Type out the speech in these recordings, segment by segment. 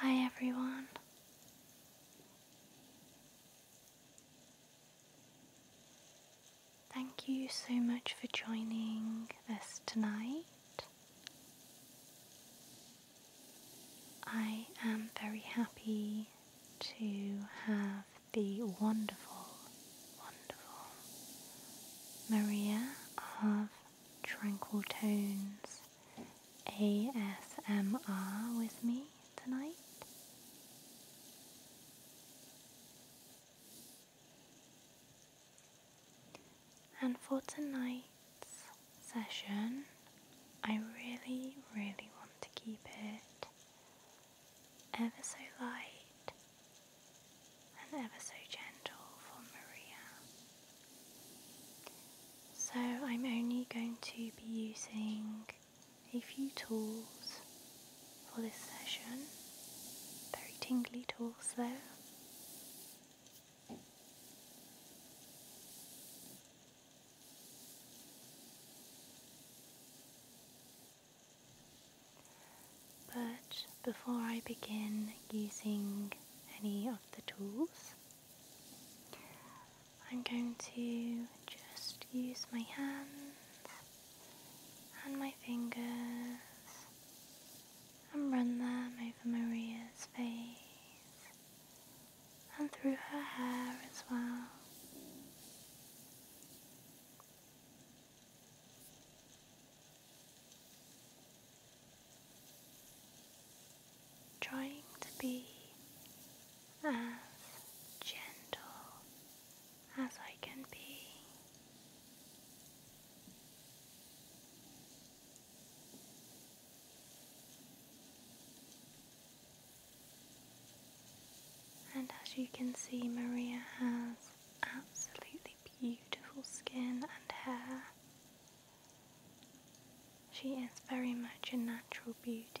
Hi, everyone. Thank you so much for joining us tonight. I am very happy to have the wonderful, wonderful Maria of Tranquil Tones ASMR with me tonight. And for tonight's session, I really, really want to keep it ever so light and ever so gentle for Maria. So I'm only going to be using a few tools for this session, very tingly tools though. But before I begin using any of the tools, I'm going to just use my hands and my fingers and run them over Maria's face and through her hair as well. Trying to be as gentle as I can be. And as you can see, Maria has absolutely beautiful skin and hair. She is very much a natural beauty.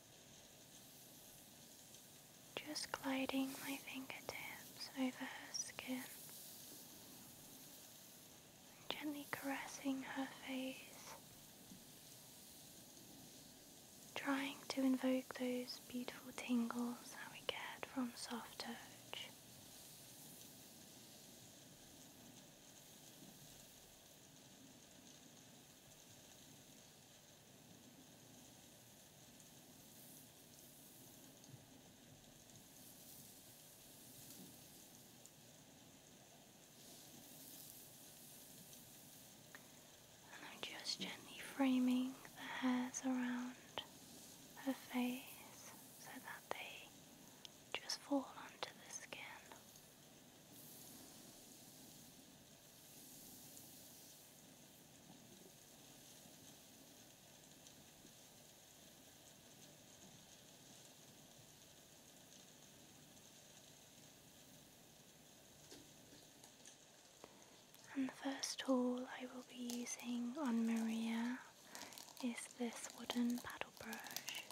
Just gliding my fingertips over her skin. Gently caressing her face, trying to invoke those beautiful tingles that we get from soft touch. And I'm just gently framing the hairs around her face so that they just fall onto the skin. And the first tool I will be using on Maria is this wooden paddle brush.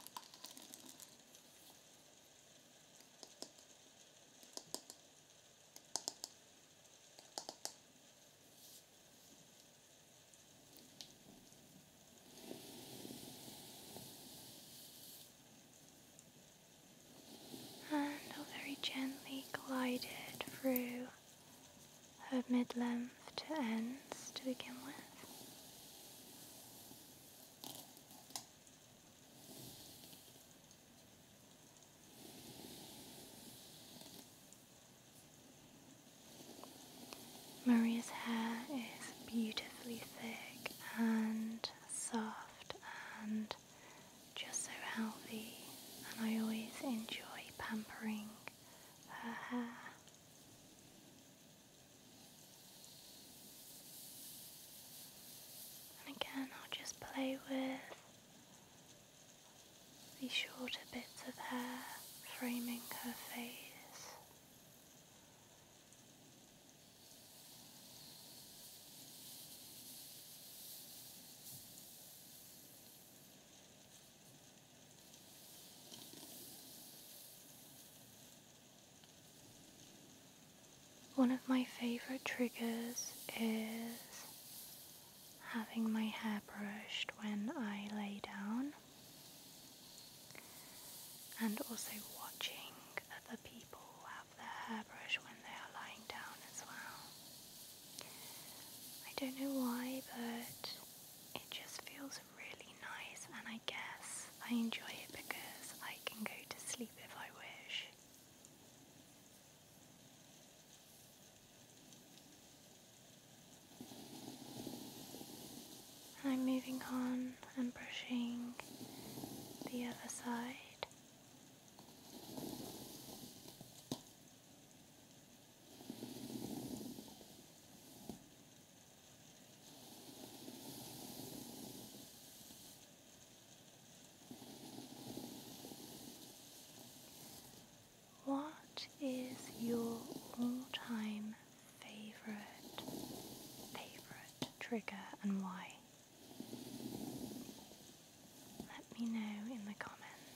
And i very gently glided through her mid length to ends to begin with. Maria's hair is beautifully thick and soft and just so healthy, and I always enjoy pampering her hair. And again, I'll just play with the shorter bits of hair framing her face. One of my favorite triggers is having my hair brushed when I lay down and also watching other people have their hair brushed when they are lying down as well. I don't know why but it just feels really nice and I guess I enjoy it because I can go to sleep if I wish. I'm moving on and brushing the other side. What is your all-time favorite favorite trigger and why? Let me know in the comments.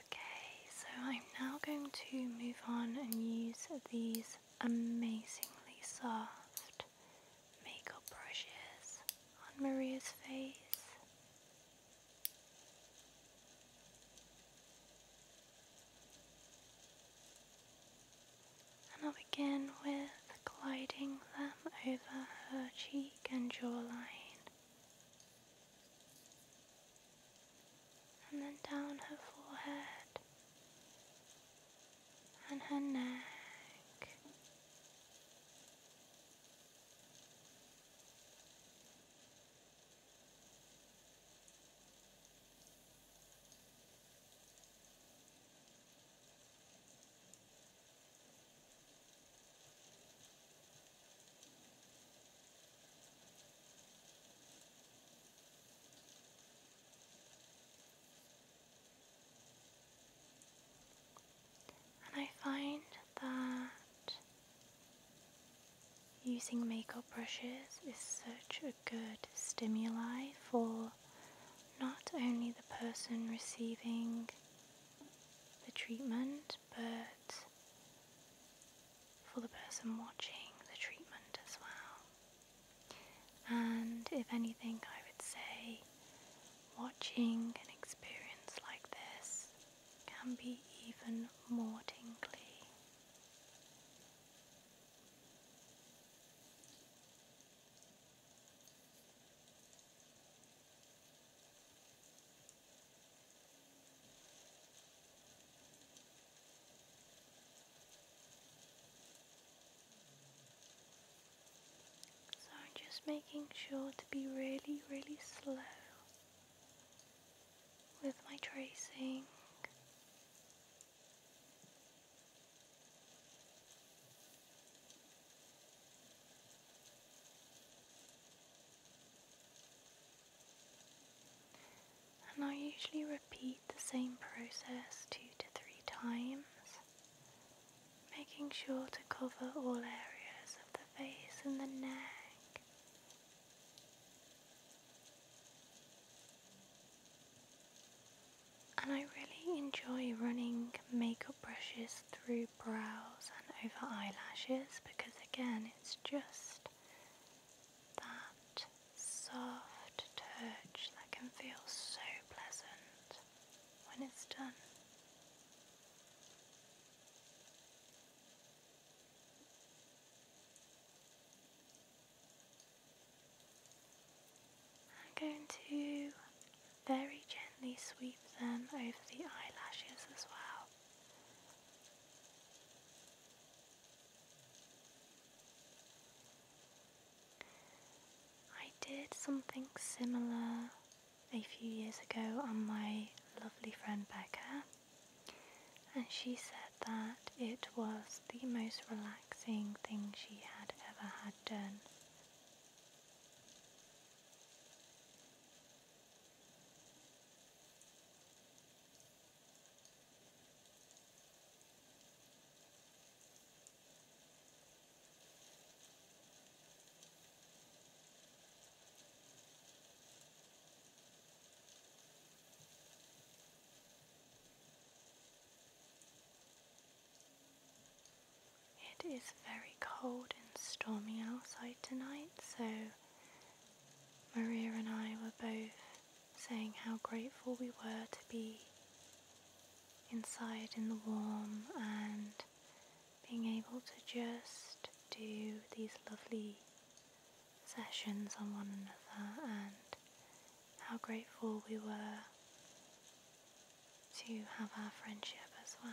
Okay, so I'm now going to move on and use these amazingly soft makeup brushes on Maria's face. And I'll begin with gliding them over her cheek and jawline, and then down her forehead and her neck. And I find that using makeup brushes is such a good stimuli for not only the person receiving the treatment but for the person watching the treatment as well and if anything, I would say watching an experience like this can be even more tingly. So I'm just making sure to be really, really slow with my tracing. And I usually repeat the same process two to three times making sure to cover all areas of the face and the neck. And I really enjoy running makeup brushes through brows and over eyelashes because again it's just that soft touch that can feel so pleasant when it's done. I'm going to very gently sweep them over the eyelashes as well. I did something similar a few years ago on my lovely friend Becca, and she said that it was the most relaxing thing she had ever had done. It is very cold and stormy outside tonight, so Maria and I were both saying how grateful we were to be inside in the warm and being able to just do these lovely sessions on one another and how grateful we were to have our friendship as well.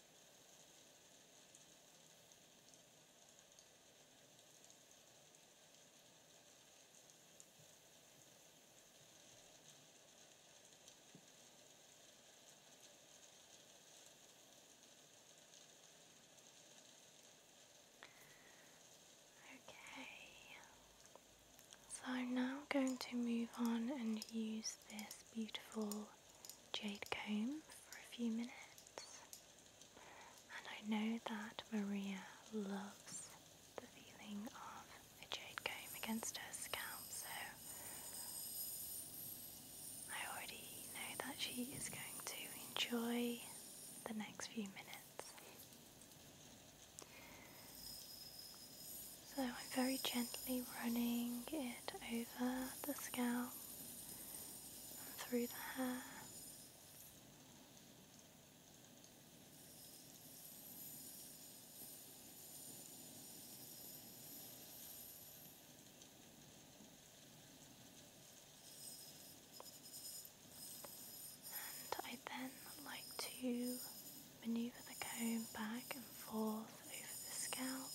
Okay, so I'm now going to move on and use this beautiful jade comb for a few minutes. And I know that Maria loves the feeling of a jade comb against her scalp, so I already know that she is going to enjoy the next few minutes. So I'm very gently running it over the scalp and through the hair. And I then like to Maneuver the comb back and forth over the scalp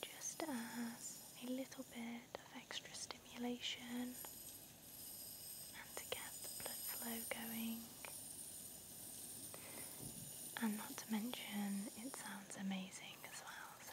just as a little bit of extra stimulation and to get the blood flow going. And not to mention, it sounds amazing as well. So,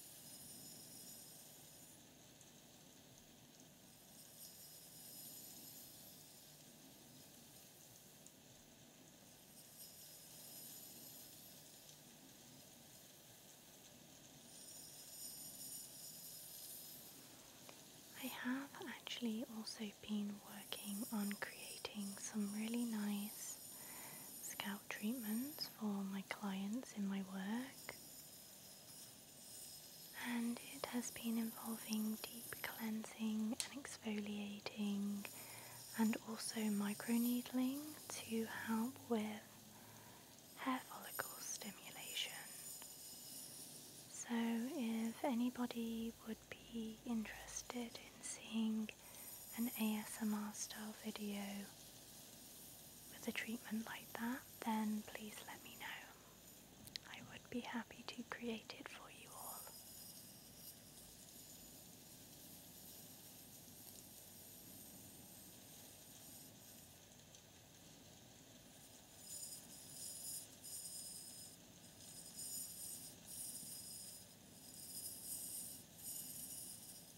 I have actually also been working on creating some really nice scalp treatments for my clients in my work, and it has been involving deep cleansing and exfoliating, and also micro needling to help with hair follicle stimulation. So, if anybody would be interested in seeing an ASMR style video with a treatment like that, then please let me know. I would be happy to create it for you all.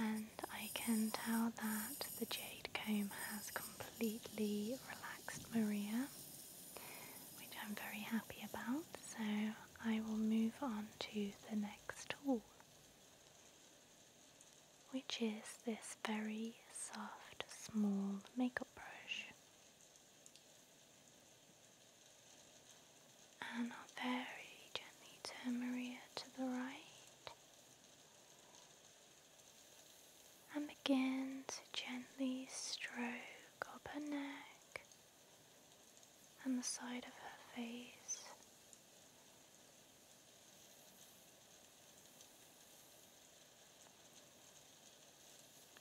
And I can tell that the jade comb has completely relaxed Maria, which I'm very happy about. So I will move on to the next tool, which is this very soft, small makeup brush. And very gently turn Maria to the right and begin to gently stroke up her neck and the side of her face.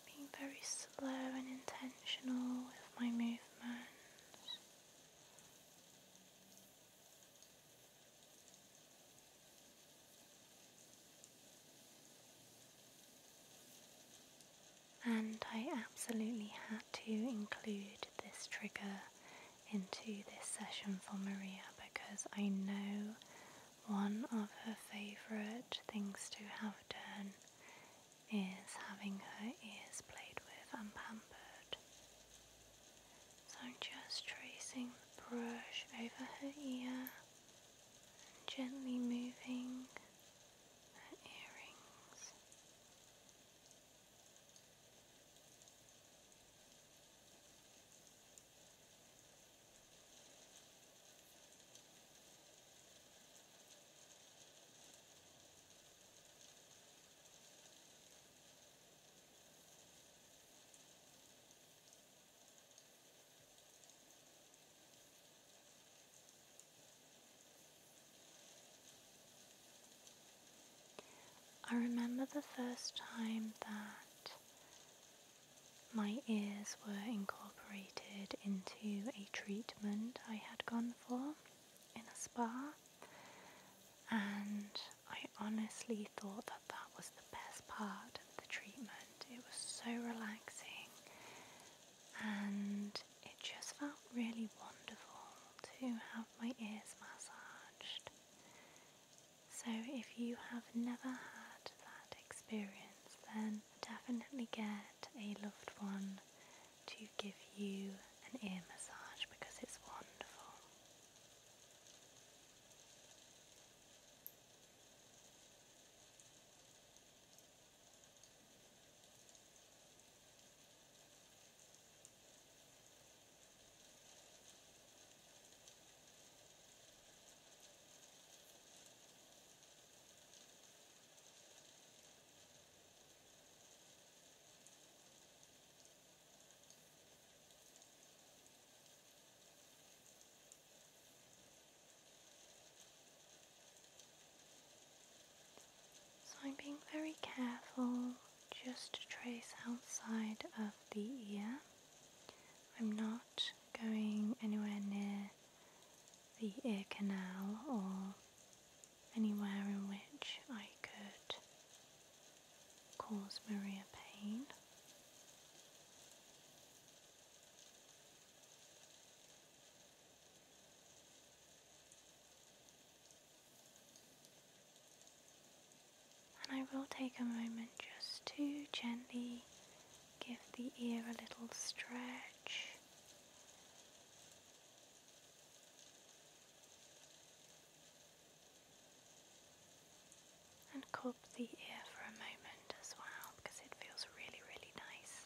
Being very slow and intentional with my movement. And I absolutely had to include this trigger into this session for Maria because I know one of her favourite things to have done is having her ears played with and pampered. So I'm just tracing the brush over her ear and gently moving her earrings. I remember the first time that my ears were incorporated into a treatment I had gone for in a spa, and I honestly thought that that was the best part of the treatment. It was so relaxing, and it just felt really wonderful to have my ears massaged. So if you have never had that experience, then definitely get a loved one to give you an ear massage because it's wonderful. So I'm being very careful just to trace outside of the ear. I'm not going anywhere near the ear canal or anywhere in which I could cause Maria pain and I will take a moment just to gently give the ear a little stretch. And cup the ear for a moment as well because it feels really, really nice.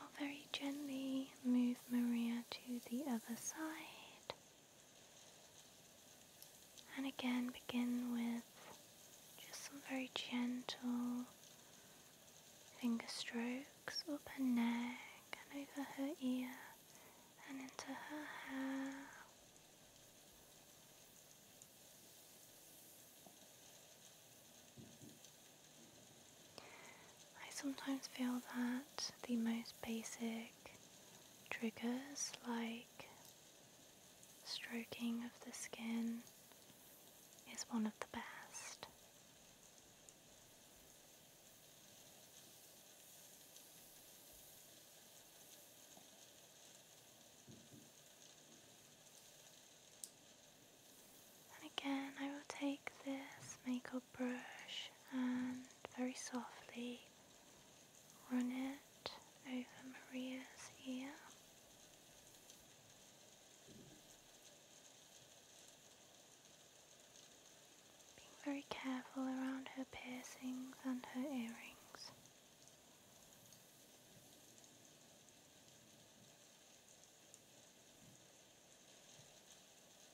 I'll very gently move Maria to the other side. And again, begin with just some very gentle finger strokes up her neck and over her ear and into her hair. I sometimes feel that the most basic triggers like stroking of the skin is one of the best. And again, I will take this makeup brush and very softly run it over Maria's ear. Being very careful around her piercings and her earrings.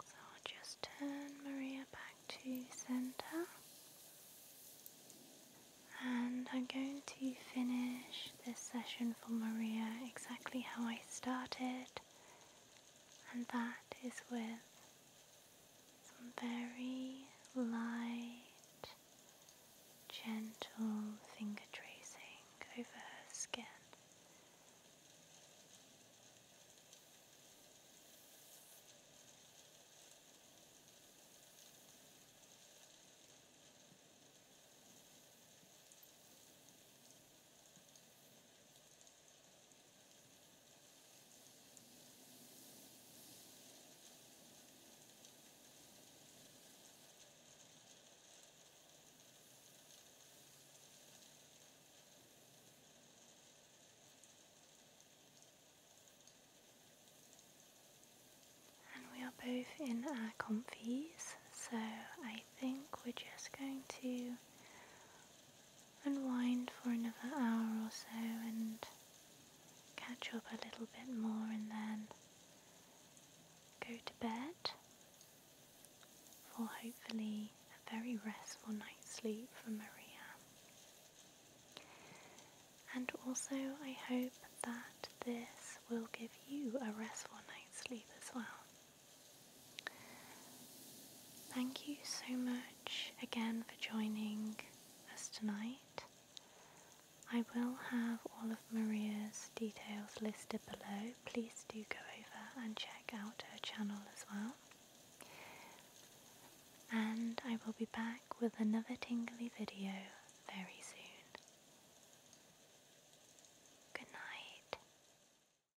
So I'll just turn Maria back to center. And I'm going to finish this session for Maria exactly how I started, and that is with some very light, gentle finger tracing over her skin. And we are both in our comfies, so I think we're just going to unwind for another hour or so and catch up a little bit more and then go to bed for hopefully a very restful night's sleep for Maria. And also, I hope that this will give you a restful night's sleep as well. Thank you so much again for joining us tonight. I will have all of Maria's details listed below. Please do go over and check out her channel as well. And I will be back with another tingly video very soon. Good night.